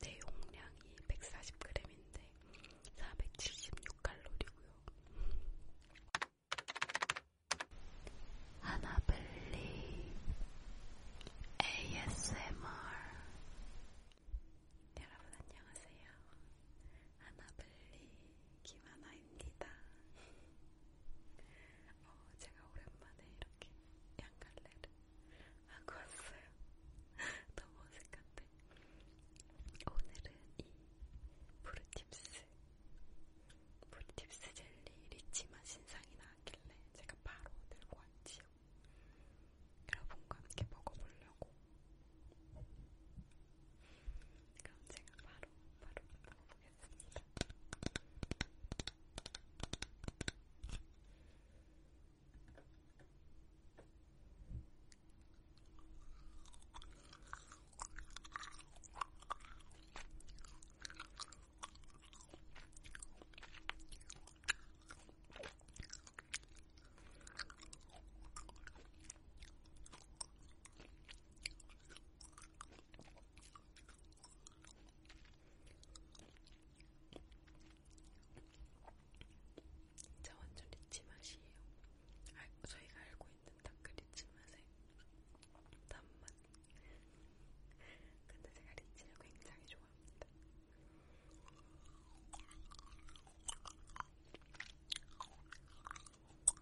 내 용량이 140g인데 476칼로리고요. 하나블리 ASMR 여러분 안녕하세요. 하나블리 김하나입니다. 어, 제가 오랜만에 이렇게 양갈래를 하고 왔어요. 너무 어색한데. 오늘은 이 브루팁스, 브루팁스 젤리 리치맛 신상이 나왔길래 제가 바로 들고 왔지요. 여러분과 함께 먹어보려고 Come sing a bottle, bottle, bottle. 진짜 완전 리치 맛이에요. 알, 아, 저희가 알고 있는 닭그 리치 맛의 단맛. 근데 제가 리치를 굉장히 좋아합니다. 맛있어.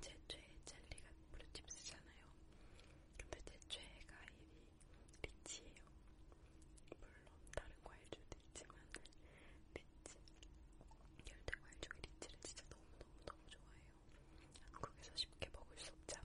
제 최애 젤리가 브루칩스잖아요. 근데 제 최애가 이 리치예요. 물론 다른 과일주도 있지만 리치, 열대 과일 중에 리치를 진짜 너무너무너무 좋아해요. 한국에서 쉽게 먹을 수 없잖아요.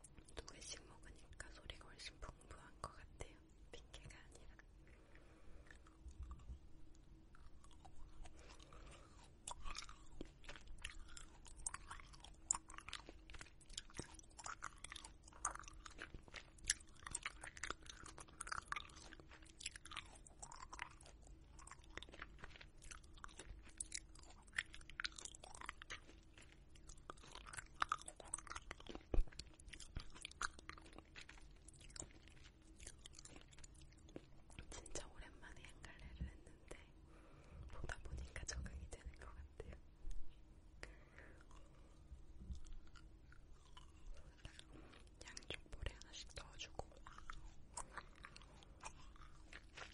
두 개씩 먹으니까 소리가 훨씬 풍부한 것 같아요. 핑계가 아니라. 진짜 오랜만에 양갈래를 했는데 보다 보니까 적응이 되는 것 같아요. 양쪽 볼에 하나씩 넣어주고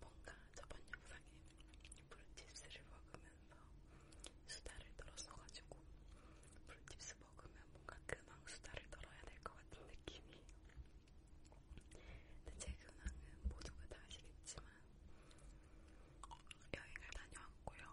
뭔가 저번 영상에 브루칩스를 먹으면서 수다를 떨었어가지고 브루칩스 먹으면 뭔가 근황 수다를 떨어야 될 것 같은 느낌이 근데 제 근황은 모두가 다 아시겠지만 여행을 다녀왔고요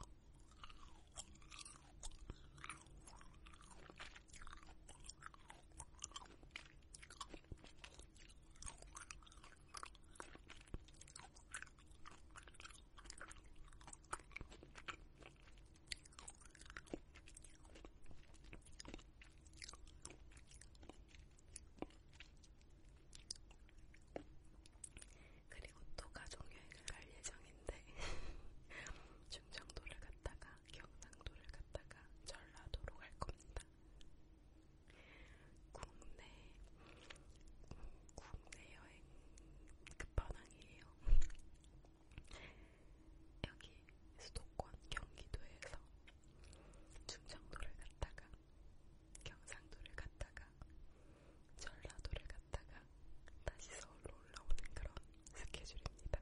그리고 또 가족여행을 갈 예정인데 충청도를 갔다가 경상도를 갔다가 전라도로 갈 겁니다. 국내 국내 여행 끝판왕이에요. 여기 수도권 경기도에서 충청도를 갔다가 경상도를 갔다가 전라도를 갔다가 다시 서울로 올라오는 그런 스케줄입니다.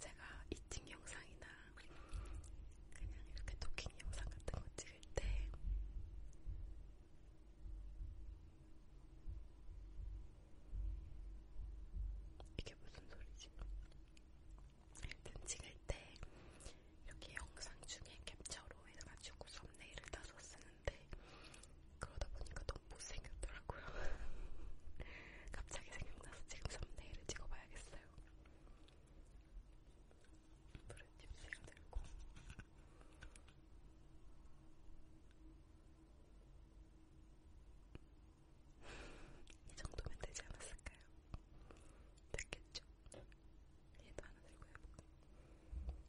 제가 이팅 영상이나 그냥 이렇게 토킹 영상 같은 거 찍을 때 이게 무슨 소리지? 하여튼 찍을 때 이렇게 영상 중에 캡처로 해가지고 썸네일을 따서 쓰는데 그러다 보니까 너무 못생겼더라고요. 갑자기 생각나서 지금 썸네일을 찍어봐야겠어요. 물은 팁스가 들고 이 정도면 되지 않았을까요? 됐겠죠? 얘도 하나 들고 해볼까?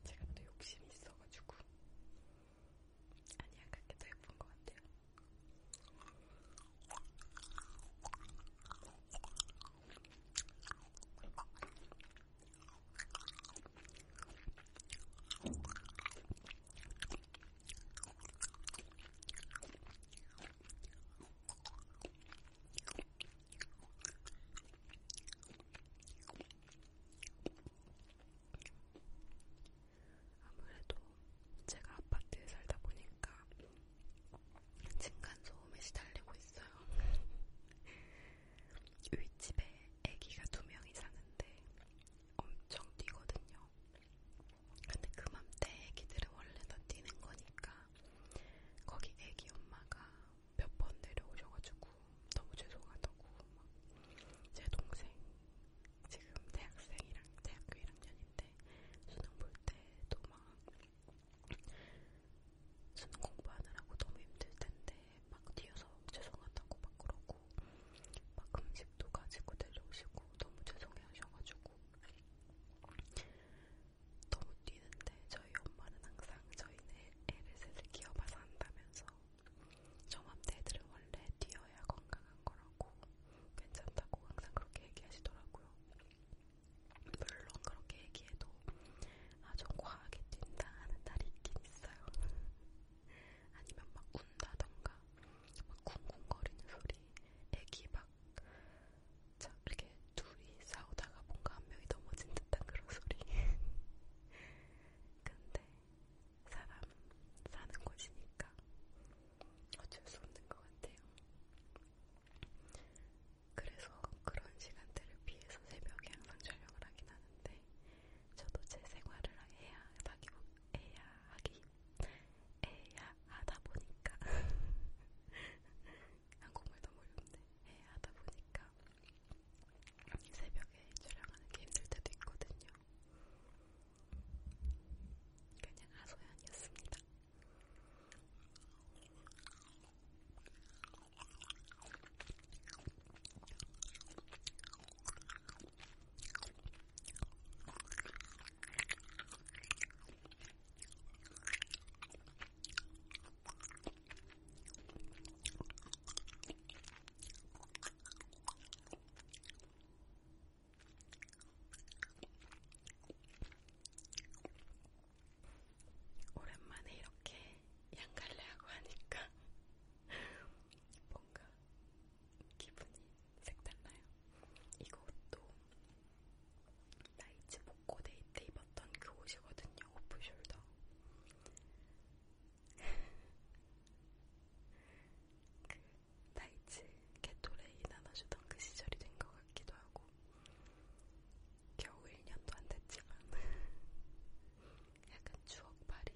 제가 또 욕심이 있어가지고 아니야 그렇게 더 예쁜 것 같아요. 아무래도 제가 아파트에 살다 보니까 층간 소음에 시달리고 있어요. 윗집에 애기가 두 명이 사는데 엄청 뛰거든요. 근데 그맘때 애기들은 원래 다 뛰는 거니까 거기 애기 엄마가 몇 번 내려오셔가지고 너무 죄송하다고 막제 동생 지금 대학생이랑 대학교 1학년인데 수능 볼 때도 막 수능 공부하느라고 너무 힘들 텐데 막 뒤에서 죄송하다고 막 그러고 막 음식도 가지고 내려오시고 너무 죄송해 하셔가지고 너무 뛰는데 저희 엄마는 항상 저희는 애를 셋을 키워봐서 한다면서 저맘때들은 원래 뛰어야 건강한 거라고 괜찮다고 항상 그렇게 얘기하시더라고요. 물론 그렇게 얘기해도 아주 과하게 뛴다 하는 날이 있긴 있어요. 아니면 막 운다던가 막 쿵쿵거리는 소리 애기 막 자, 이렇게 둘이 싸우다가 뭔가 한 명이 넘어진 듯한 그런 소리 근데 사람 사는 곳이니까 어쩔 수 없는 것 같아요 그래서 그런 시간대를 피해서 새벽에 항상 촬영을 하긴 하는데 저도 제 생활을 해야 하기, 해야 하기, 해야 하다 보니까 한국말 아, 너무 어려운데 해야 하다 보니까 새벽에 촬영하는 게 힘들 때도 있거든요. 그냥 아소연이었습니다. 오랜만에 이렇게 양갈래하고 하니까 뭔가 기분이 색달라요. 이것도 나이츠 복고 데이트 입었던 그 옷이거든요. 오프숄더. 그 나이츠 개토레이 나눠주던 그 시절이 된 것 같기도 하고 겨우 1년도 안 됐지만 약간 추억팔이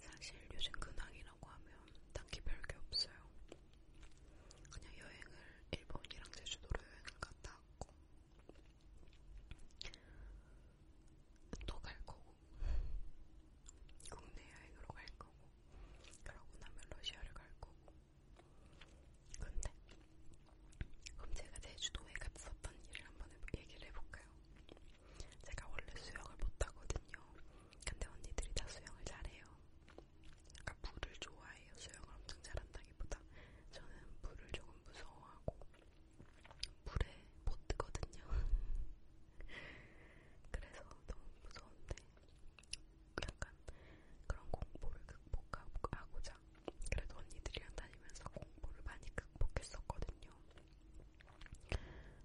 사실 요즘 근황이라고 하면 딱히 별게 없어요. 그냥 여행을 일본이랑 제주도로 여행을 갔다 왔고 또 갈 거고 국내 여행으로 갈 거고 그러고 나면 러시아를 갈 거고 근데 그럼 제가 제주도에 갔었던 일을 한번 얘기를 해볼까요? 제가 원래 수영을 못하거든요. 근데 언니들이 다 수영을 잘해요. 약간 그러니까 물을 좋아해요. 수영을 엄청 잘한다기보다 저는 물을 조금 무서워하고 물에 못 뜨거든요. 그래서 너무 무서운데 약간 그런 공포를 극복하고자 그래도 언니들이랑 다니면서 공부를 많이 극복했었거든요.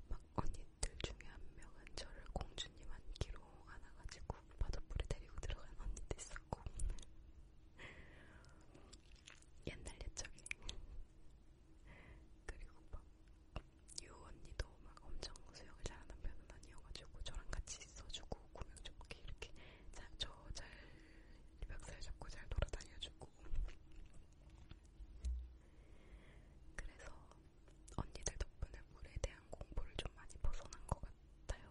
막 언니들 중에 한 명은 저를 공주님 안기로 안아가지고 바닷불에 데리고 들어간 언니도 있었고 옛날 옛적에 그리고 막 유 언니도 막 엄청 수영을 잘하는 편은 아니어가지고 저랑 같이 있어주고 구명조끼 이렇게 저잘 멱살 잡고 잘 돌아다녀주고 그래서 언니들 덕분에 물에 대한 공부를 좀 많이 벗어난 것 같아요.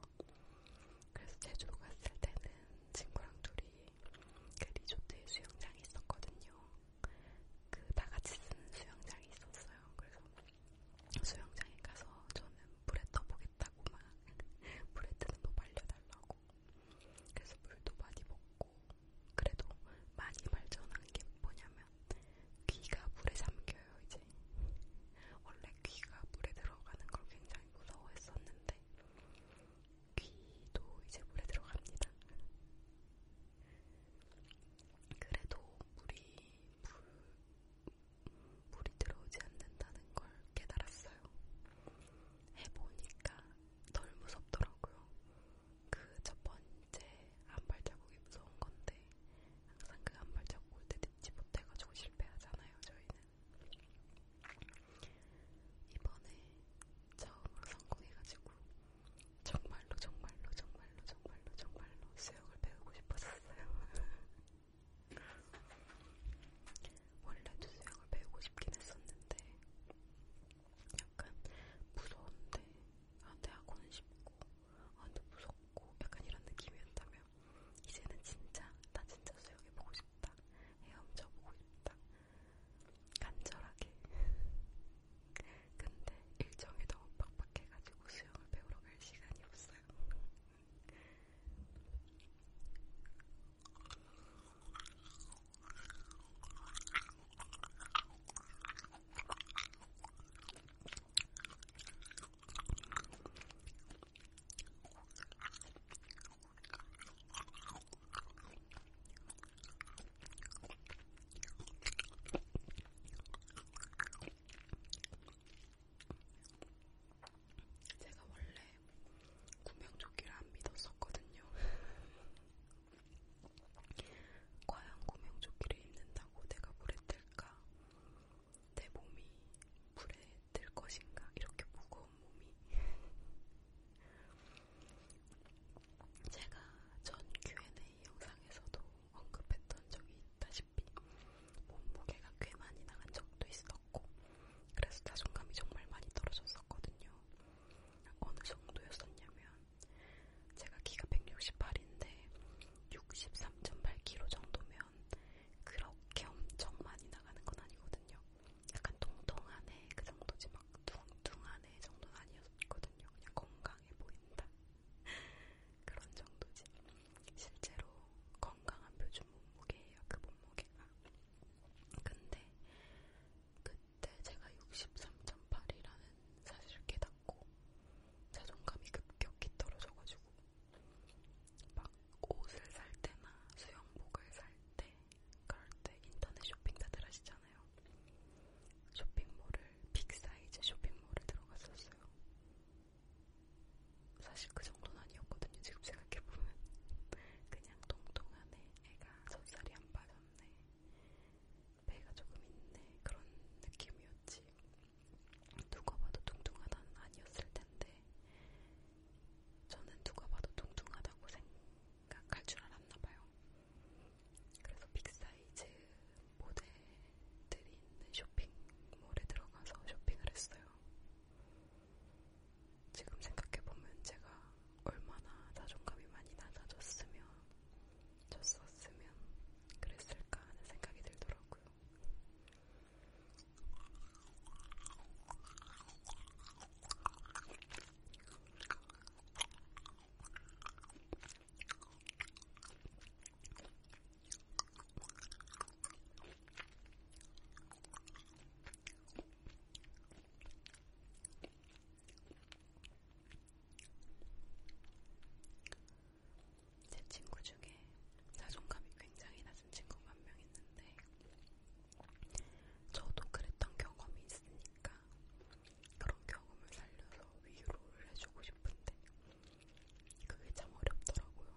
그래서 제주도 갔을 때는 친구랑 둘이 그 리조트에 수영장이 있었거든요. 그 다같이 쓰는 수영장이 있었어요. 그래서 수영장에 가서 저는 물에 떠보겠다고 막 물에 뜨는 법 알려달라고 그래서 물도 많이 먹고 그래도 많이 발전한 게 뭐냐면 귀가 물에 잠겨요 이제 원래 귀가 물에 들어가는 걸 굉장히 무서워했었는데 귀도 이제 물에 들어갑니다. 그래도 물이 물 물이 들어오지 않는다는 걸 깨달았어요. 해보니까 덜 무섭더라고요. 그 첫 번째 안발 자국이 무서운 건데 항상 그 안발 자국 올때 듣지 못해가지고 실패하잖아요. 저희는 이번에 처음으로 성공해가지고 정말로 정말로 정말로 정말로 정말로 수영을 배우고 싶었어요. 원래도 수영을 배우고 싶긴 했었는데 약간 무서운데 아, 대학원은 쉽고 아, 근데 무섭고 약간 이런 느낌이었다면 이제는 진짜 나 진짜 수영해보고 싶다 헤엄쳐보고 싶다 간절하게 근데 일정이 너무 빡빡해가지고 수영을 배우러 갈 시간이 없어요 제가 원래 구명조끼를 안 믿었었거든요. 과연 구명조끼를 입는다고 내가 물에 뜰까? 내 몸이 물에 뜰 것인가? 이렇게 무거운 몸이. 제가 전 Q&A 영상에서도 언급했던 적이 있다시피 몸무게가 꽤 많이 나간 적도 있어 있었고 그래서 자존감이 정말 많이 떨어졌었거든요. 어느 정도였었냐면 제가 키가 168인데 63.8kg 정도면 그렇게 엄청 많이 나가는 건 아니거든요. 약간 통통한 애그 정도지 막 둥둥한 애 정도는 아니었거든요. 그냥 건강해 보인다. 그런 정도지. 실제로 건강한 표준 몸무게예요. 그 몸무게가. 근데 그때 제가 63.8이라는 사실을 깨닫고 자존감이 급격히 떨어져가지고 막 옷을 살 때나 수영복을 살 때 그럴 때 인터넷 쇼핑 다들 하시잖아요. 쇼핑몰을 빅사이즈 쇼핑몰을 들어갔었어요. 사실 그 정도는 아니었거든요. 지금 생각해보면 그냥 동동 안에 애가 젖살이 안 빠졌네. 배가 조금 있네. 그런 느낌이었지. 누가 봐도 뚱뚱하다는 아니었을 텐데, 저는 누가 봐도 뚱뚱하다고 생각할 줄 알았나 봐요. 그래서 빅사이즈 모델들이 있는 쇼핑몰에 들어가서 쇼핑을 했어요. 지금 생각해보면 제가 얼마나 자존감이 많이 낮아졌으면, 졌었으면 그랬을까 하는 생각이 들더라고요. 제 친구 중에 자존감이 굉장히 낮은 친구가 한 명 있는데, 저도 그랬던 경험이 있으니까, 그런 경험을 살려서 위로를 해주고 싶은데, 그게 참 어렵더라고요.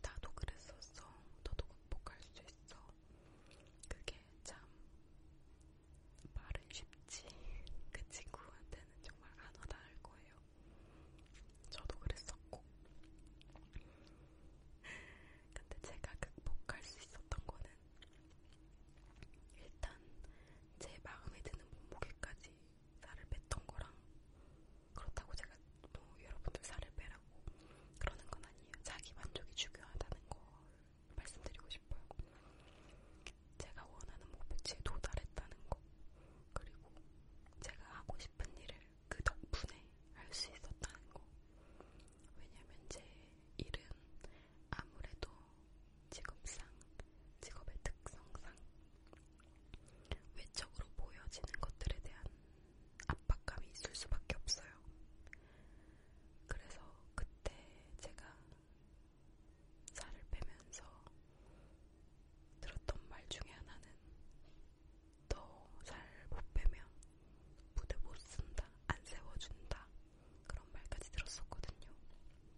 나도 그랬었어. 너도 극복할 수 있어. 그게 참 말은 쉽지 그 친구한테는 정말 안 와닿을 거예요. 저도 그랬었고. 근데 제가 극복할 수 있었던 거는 일단 제 마음에 드는 몸무게까지 살을 뺐던 거랑 그렇다고 제가 제가 뭐 여러분들 살을 빼라고 그러는 건 아니에요. 자기 만족이 중요하다는 걸 말씀드리고 싶어요. 제가 원하는 목표치에 도달했다는 거 그리고 제가 하고 싶은 일을 그 덕분에 할 수 있었다는 거 왜냐면 제 일은 아무래도 직업상 직업의 특성상 외적으로 보여지는 것들에 대한 압박감이 있을 수밖에 없어요. 그래서 그때 제가 살을 빼면서 들었던 말 중에 하나는 너 살 못 빼면 무대 못 쓴다, 안 세워준다 그런 말까지 들었었거든요.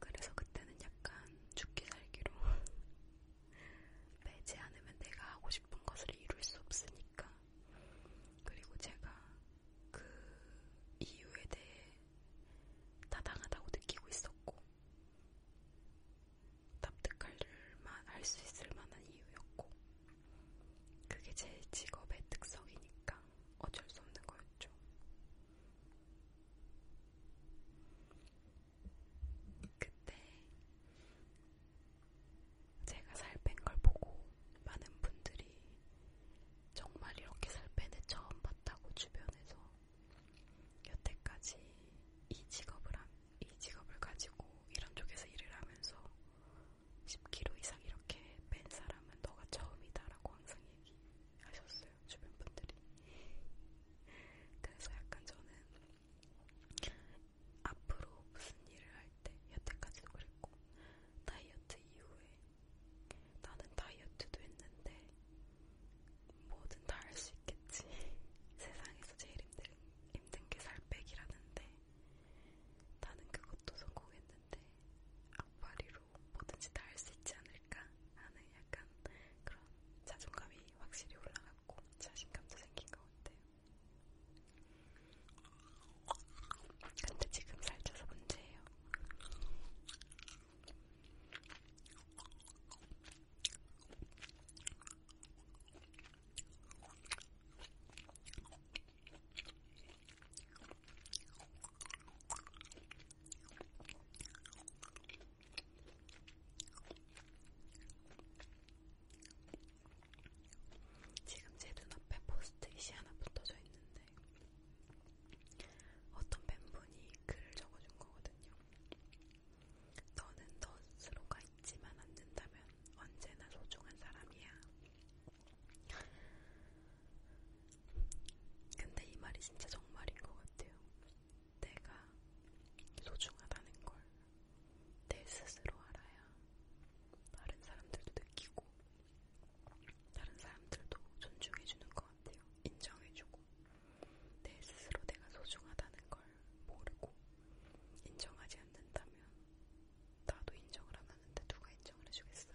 그래서 그때는 약간 죽기 살기로 빼지 않으면 내가 하고 싶은 것을 이룰 수 없으니까 그리고 제가 그 이유에 대해 타당하다고 느끼고 있었고, 납득할 할수 있을 만한 이유였고, 그게 제 직업의 특성이니까 어쩔 수 없는 거였죠. 그때 제가 살 뺀 걸 보고 많은 분들이 정말 이렇게 살 빼는 처음 봤다고 주변에서 여태까지 이 직업을 한, 이 직업을 가지고 이런 쪽에서 일을 하면서 10kg 이상 이렇게 뺀 사람은 너가 처음이다라고 항상 얘기하셨어요 주변 분들이. 그래서 약간 저는 앞으로 무슨 일을 할 때 여태까지도 그랬고 다이어트 이후에 나는 다이어트도 했는데 뭐든 다 할 수 있겠지. 세상에서 제일 힘든, 힘든 게살 빼기라는데 나는 그것도 성공했는데 악바리로 뭐든지 다 할 수 있지 않을까 하는 약간 그런 자존감이 확실히 올라갔고 자신감도 생긴 것 같아요. 근데 지금 살쪄서 문제예요. 지금 제 눈앞에 포스트잇이 하나 붙어져 있는데 어떤 팬분이 글을 적어준 거거든요. 너는 너 스스로가 있지만 않는다면 언제나 소중한 사람이야. 근데 이 말이 진짜 정말인 것 같아요. 내가 소중하다는 걸내 스스로 알아야 다른 사람들도 느끼고 다른 사람들도 존중해주는 것 같아요. 인정해주고 내 스스로 내가 소중하다는 걸 모르고 인정하지 않는다면 나도 인정을 안 하는데 누가 인정을 해주겠어요.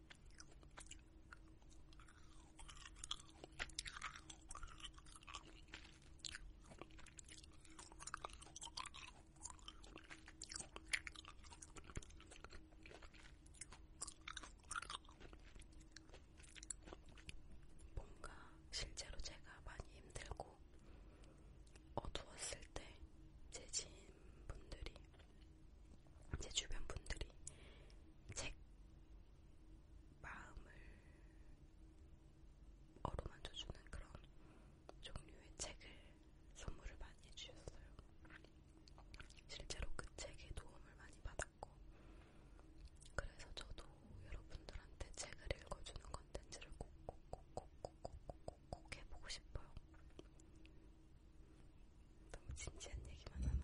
뭔가 실제로 제가 많이 힘들고 어두웠을 때 제 지인분들이 제 주변 분들이 책 마음을 어루만져주는 그런 종류의 책을 선물을 많이 해주셨어요. 실제로 그 책에 도움을 많이 받았고, 그래서 저도 여러분들한테 책을 읽어주는 컨텐츠를 꼭꼭 꼭 꼭 꼭 꼭꼭 해보고 싶어요. 너무 진지한 얘기만 하나?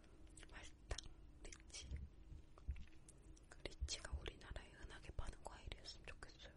말딱 리치. 그 리치가 우리나라에 흔하게 파는 과일이었으면 좋겠어요.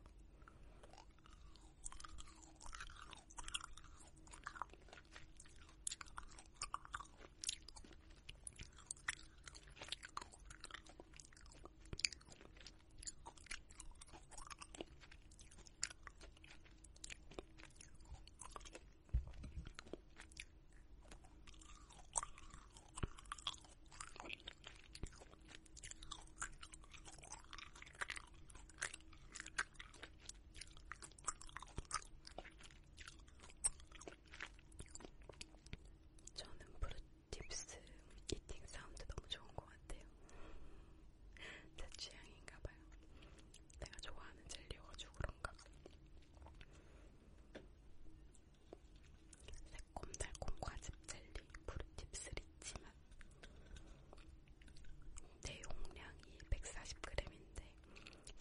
저는 브루팁스 이팅 사운드 너무 좋은 것 같아요. 제 취향인가봐요. 내가 좋아하는 젤리여가지고 그런가. 새콤달콤 과즙 젤리 브루팁스 리치맛 내용량이 140g인데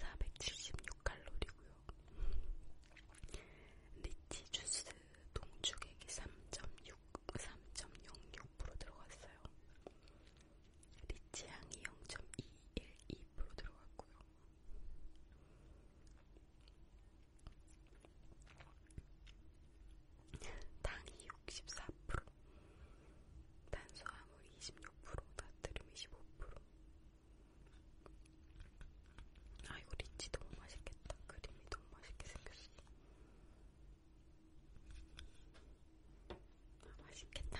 476칼로리고요. 리치 주스 동주객이 3.6, 3.06% 들어갔어요. 리치향이 0.212% 들어갔고요. 당이 64%, 탄수화물 26%, 나트륨 25%. 아 이거 리치 너무 맛있겠다. 크림이 너무 맛있게 생겼어. 맛있겠다.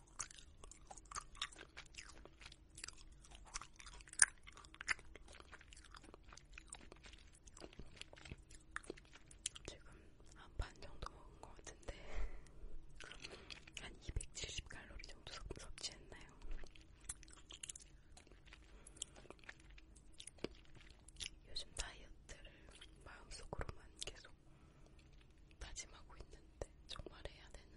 지금 한 반 정도 먹은 것 같은데 한 270칼로리 정도 섭취했나요? 요즘 다이어트를 마음속으로만 계속 다짐하고 있는데 정말 해야 되는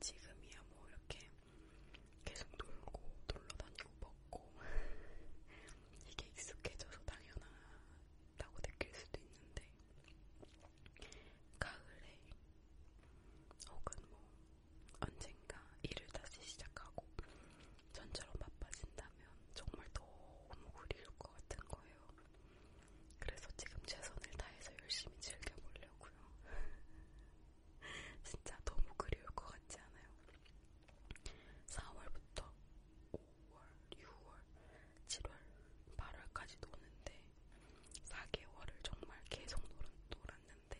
지금이야 뭐 이렇게 계속 놀고 놀러다니고 먹고 이게 익숙해져서 당연하다고 느낄 수도 있는데 가을에 혹은 뭐 언젠가 일을 다시 시작하고 전처럼 바빠진다면 정말 너무 그리울 것 같은 거예요. 그래서 지금 최선을 다해서 열심히 즐겨보려고요. 진짜 너무 그리울 것 같지 않아요? 4월부터 5월, 6월, 7월, 8월까지 노는데 4개월을 정말 계속 놀, 놀았는데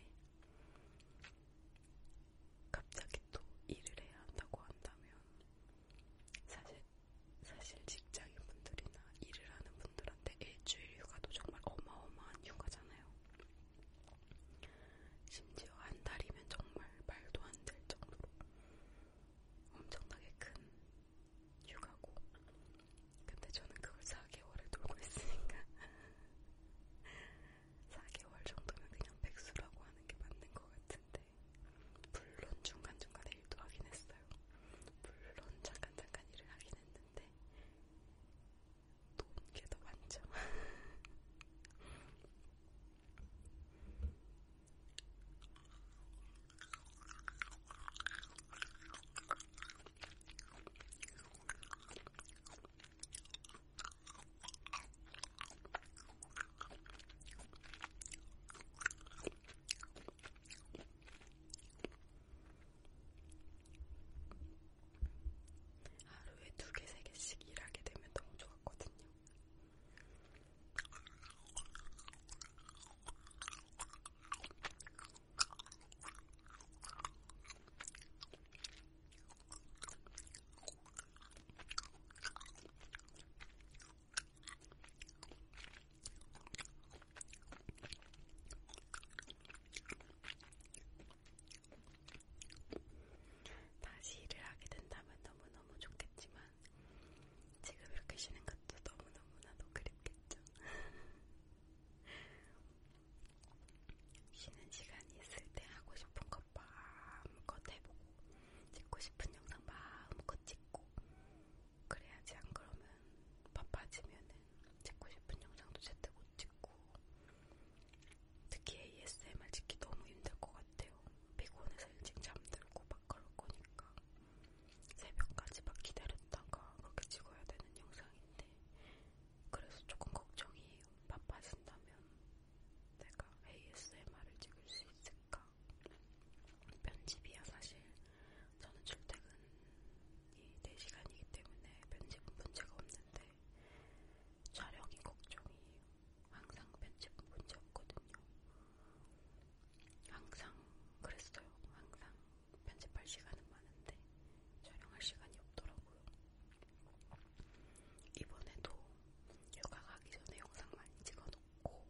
갑자기 또 일을 해야 한다고 한다면 사실 사실 직장인분들이나 일을 하는 분들한테 일주일 휴가도 정말 어마어마한 휴가잖아요. 심지어 한 달이면 정말 말도 안 될 정도로 엄청나게 큰 휴가고 근데 저는 그걸 4개월에 놀고 있으니까 4개월 정도면 그냥 백수라고 하는 게 맞는 것 같은데 물론 중간중간에 가서 일도 하긴 했어요. 물론 잠깐 잠깐 일을 하긴 했는데 돈게더 많죠. 하루에 두 개, 세 개씩 일하게 되면 너무 좋았거든요. 다시 일을 하게 된다면 너무너무 좋겠지만 지금 이렇게 쉬는 것도 너무너무나도 그립겠죠. 쉬는 시간이 있을 때 하고 싶은 것 마음껏 해보고 찍고 싶은 영상 마음껏 찍고 그래야지 안 그러면 바빠지면은 찍고 싶은 영상도 제때 못 찍고 특히 ASMR 찍기 너무 힘들 것 같아요. 피곤해서 일찍 잠들고 막 그럴 거니까 새벽까지 막 기다렸다가 그렇게 찍어야 되는 영상인데 그래서 조금 걱정이에요. 바빠진다면 내가 ASMR을 찍을 수 있을까? 편집이야 사실 저는 출퇴근이 4시간이기 때문에 편집은 문제가 없는데 촬영이 걱정이에요. 항상 편집은 문제 없거든요. 항상 그랬어요. 항상 편집할 시간은 많은데 촬영할 시간이 없더라고요. 이번에도 휴가 가기 전에 영상 많이 찍어놓고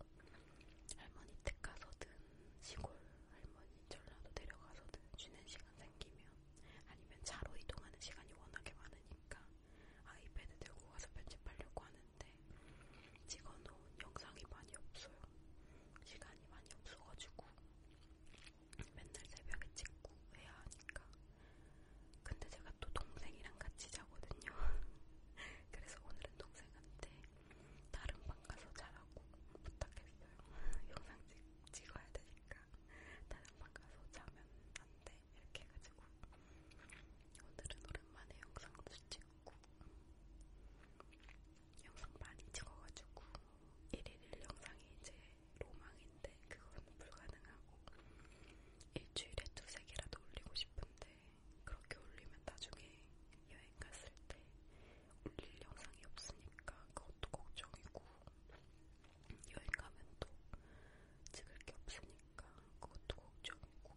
할머니 댁 가서 든 시골 할머니 전라도 내려가서든 쉬는 시간 생기면 아니면 차로 이동하는 시간이 워낙에 많으니까 아이패드 들고 가서 편집하려고 하는데 찍어놓은 영상이 많이 없어요. 시간이 많이 없어가지고 맨날 새벽에 찍고 해야 하니까 근데 제가 또 동생이랑 같이 자거든요. 그래서 오늘은 동생한테 다른 방 가서 자라고 부탁했어요. 영상 찍, 찍어야 되니까 다른 방 가서 자면 안돼 이렇게 해가지고 오늘은 오랜만에 영상도 찍고 영상 많이 찍어가지고 1일 영상이 이제 로망인데 그건 불가능하고 일주일에 두세 개라도 올리고 싶은데 그렇게 올리면 나중에 여행 갔을 때 올릴 영상이 없으니까 그것도 걱정이고 여행 가면 또 찍을 게 없으니까 그것도 걱정이고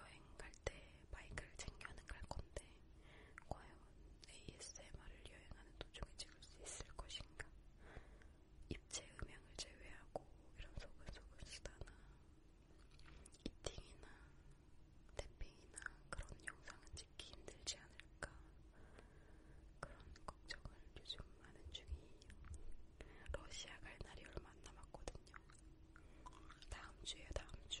여행 갈 때 마이크를 챙겨는 갈 건데 과연 ASMR을 여행하는 도중에 찍을 수 있을 것인가? 입체 음향을 제외하고 이런 소근소근 수다나 이팅이나 태핑이나 그런 영상은 찍기 힘들지 않을까 그런 걱정을 요즘 하는 중이에요. 러시아 갈 날이 얼마 안 남았거든요. 다음 주에 다음 주.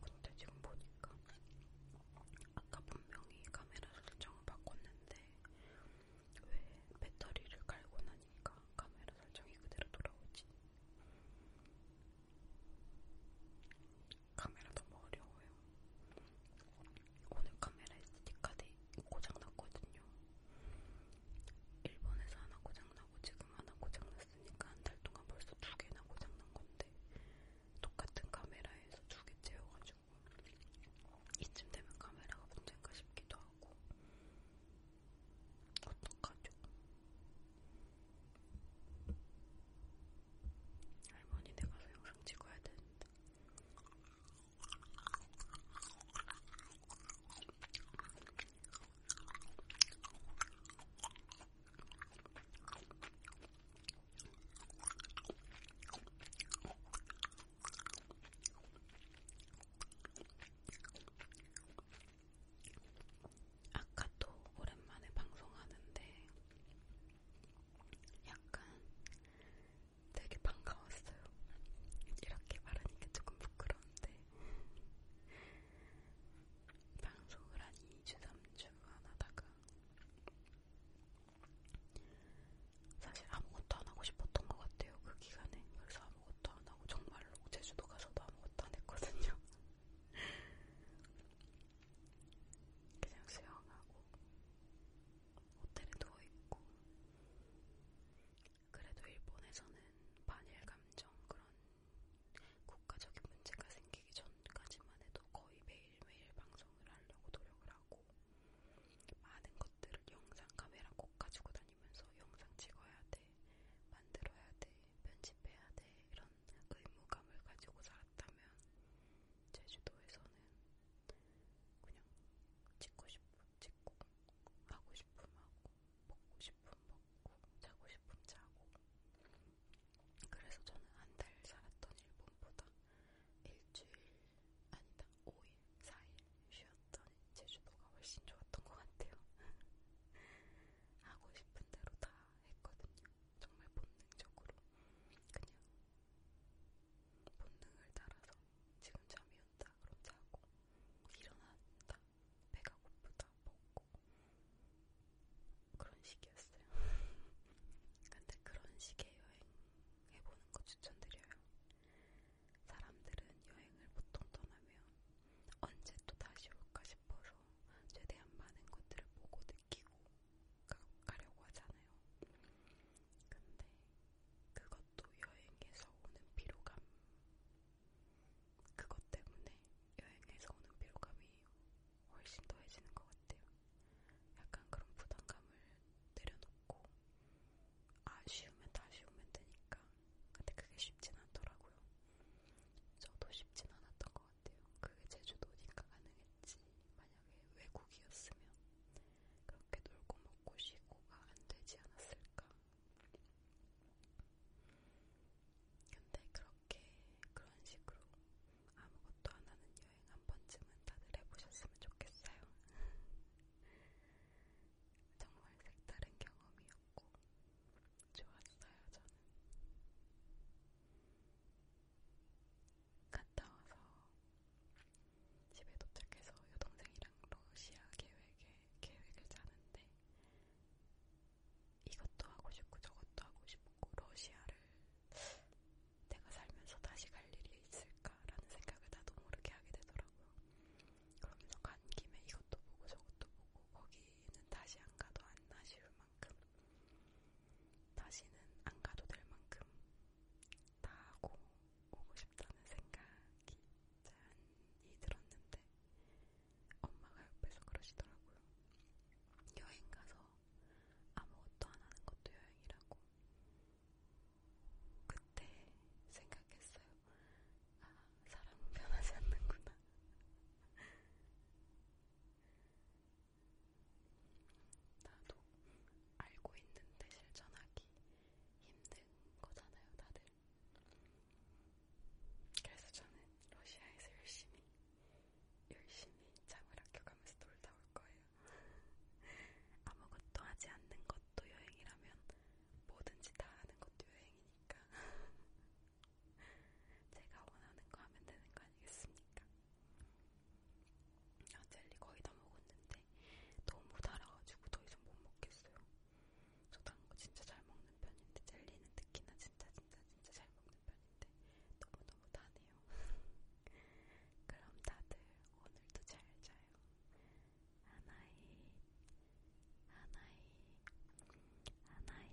근데 지금 보니까 아까 분명히 카메라 설정을 바꿨는데 왜 배터리를 갈고 나니까 카메라 설정이 그대로 돌아오지? 카메라 너무 어려워요. 오늘 카메라 SD카드 고장났거든요. 일본에서 하나 고장나고 지금 하나 고장났으니까 한 달 동안 벌써 두 개나 고장난 건데 똑같은 카메라에서 두개 채워가지고 이쯤 되면 카메라가 문제인가 싶기도 하고 어떡하죠? 할머니네 가서 영상 찍어야 되는데 아까 또 오랜만에 방송하는데 약간 되게 반가웠어요. 이렇게 말하니까 조금 부끄러운데 방송을 한 2주, 3주 안 하다가 사실 아무것도 안 하고 싶었던 것 같아요. 그 기간에 그래서 아무것도 안 하고 정말로 제주도 가서도 아무것도 안 했거든요. 그냥 수영하고 호텔에 누워있고 그래도 일본에서는 반일 감정 그런 국가적인 문제가 생기기 전까지만 해도 거의 매일매일 방송을 하려고 노력을 하고 많은 것들을 영상 카메라 꼭 가지고 다니면서 영상 찍어야 돼, 만들어야 돼, 편집해야 돼 이런 의무감을 가지고 살았다면 제주도에서는 그냥 찍고 싶고 찍고 하고 싶으면 하고, 먹고 싶으면 먹고, 자고 싶으면 자고. 그래서 저는 한 달 살았던 일본보다 일주일, 아니다, 5일, 4일 쉬었던 제주도가 훨씬 좋았던 것 같아요. 하고 싶은 대로 다 했거든요. 정말 본능적으로. 그냥 본능을 따라서 지금 잠이 잤다. 그럼 자고 일어났다. 배가 고프다. 먹고 그런 식이었어요. 근데 그런 식의 여행 해보는 거 추천드려요. 사람들은 여행을 보통 떠나면 언제 또 다시 올까 싶어서 최대한 많은 것들을 보고 느끼고 가, 가려고 하잖아요. 근데 그것도 여행에서 오는 피로감 그것 때문에 여행에서 오는 피로감이 훨씬 더해지는 것 같아요. 약간 그런 부담감을 내려놓고 아 쉬우면 다 쉬우면 되니까 근데 그게 쉽진 않더라고요. 저도 쉽진 않았던 것 같아요. 그게 제주도니까 가능했지 만약에 외국이었으면 그렇게 놀고 먹고 쉬고가 안 되지 않았을까? 근데 그렇게 그런 식으로 아무것도 안 하는 여행 한 번쯤은 다들 해보셨으면 좋겠어요. 정말 색다른 경험이었고 좋았어요 저는. 갔다 와서 집에 도착해서 여동생이랑 러시아 계획에 계획을 짜는데 이것도 하고 싶고 저것도 하고 싶고 러시아를 내가 살면서 다시 갈 일이 있을까라는 생각을 나도 모르게 하게 되더라고요. 그러면서 간 김에 이것도 보고 저것도 보고 거기는 다시 안 가도 안 아쉬울 만큼 다시는 안 가도 될 만큼 다 하고 오고 싶다는 생각이 자연히 들었는데 엄마가 옆에서 그러시더라고요. 여행 가서 아무것도 안 하는 것도 여행이라고. 그때 생각했어요. 아, 사람은 변하지 않는구나. 나도 알고 있는데 실천하기 힘든 거잖아요, 다들. 그래서 저는 러시아에서 열심히, 열심히 잠을 아껴가면서 놀다 올 거예요. 아무것도 하지 않는 것도 여행이라면 뭐든지 다 하는 것도 여행이니까. 제가 원하는 거 하면 되는 거 아니겠습니까? 아, 젤리 거의 다 먹었는데 먹었는데 너무 달아가지고 더 이상 못 먹겠어요. 저 단 거 진짜 잘 먹는 편인데 젤리는 특히나 진짜 진짜 진짜 잘 먹는 편인데 너무너무 다네요. 그럼 다들 오늘도 잘 자요. 하나이 하나이 하나이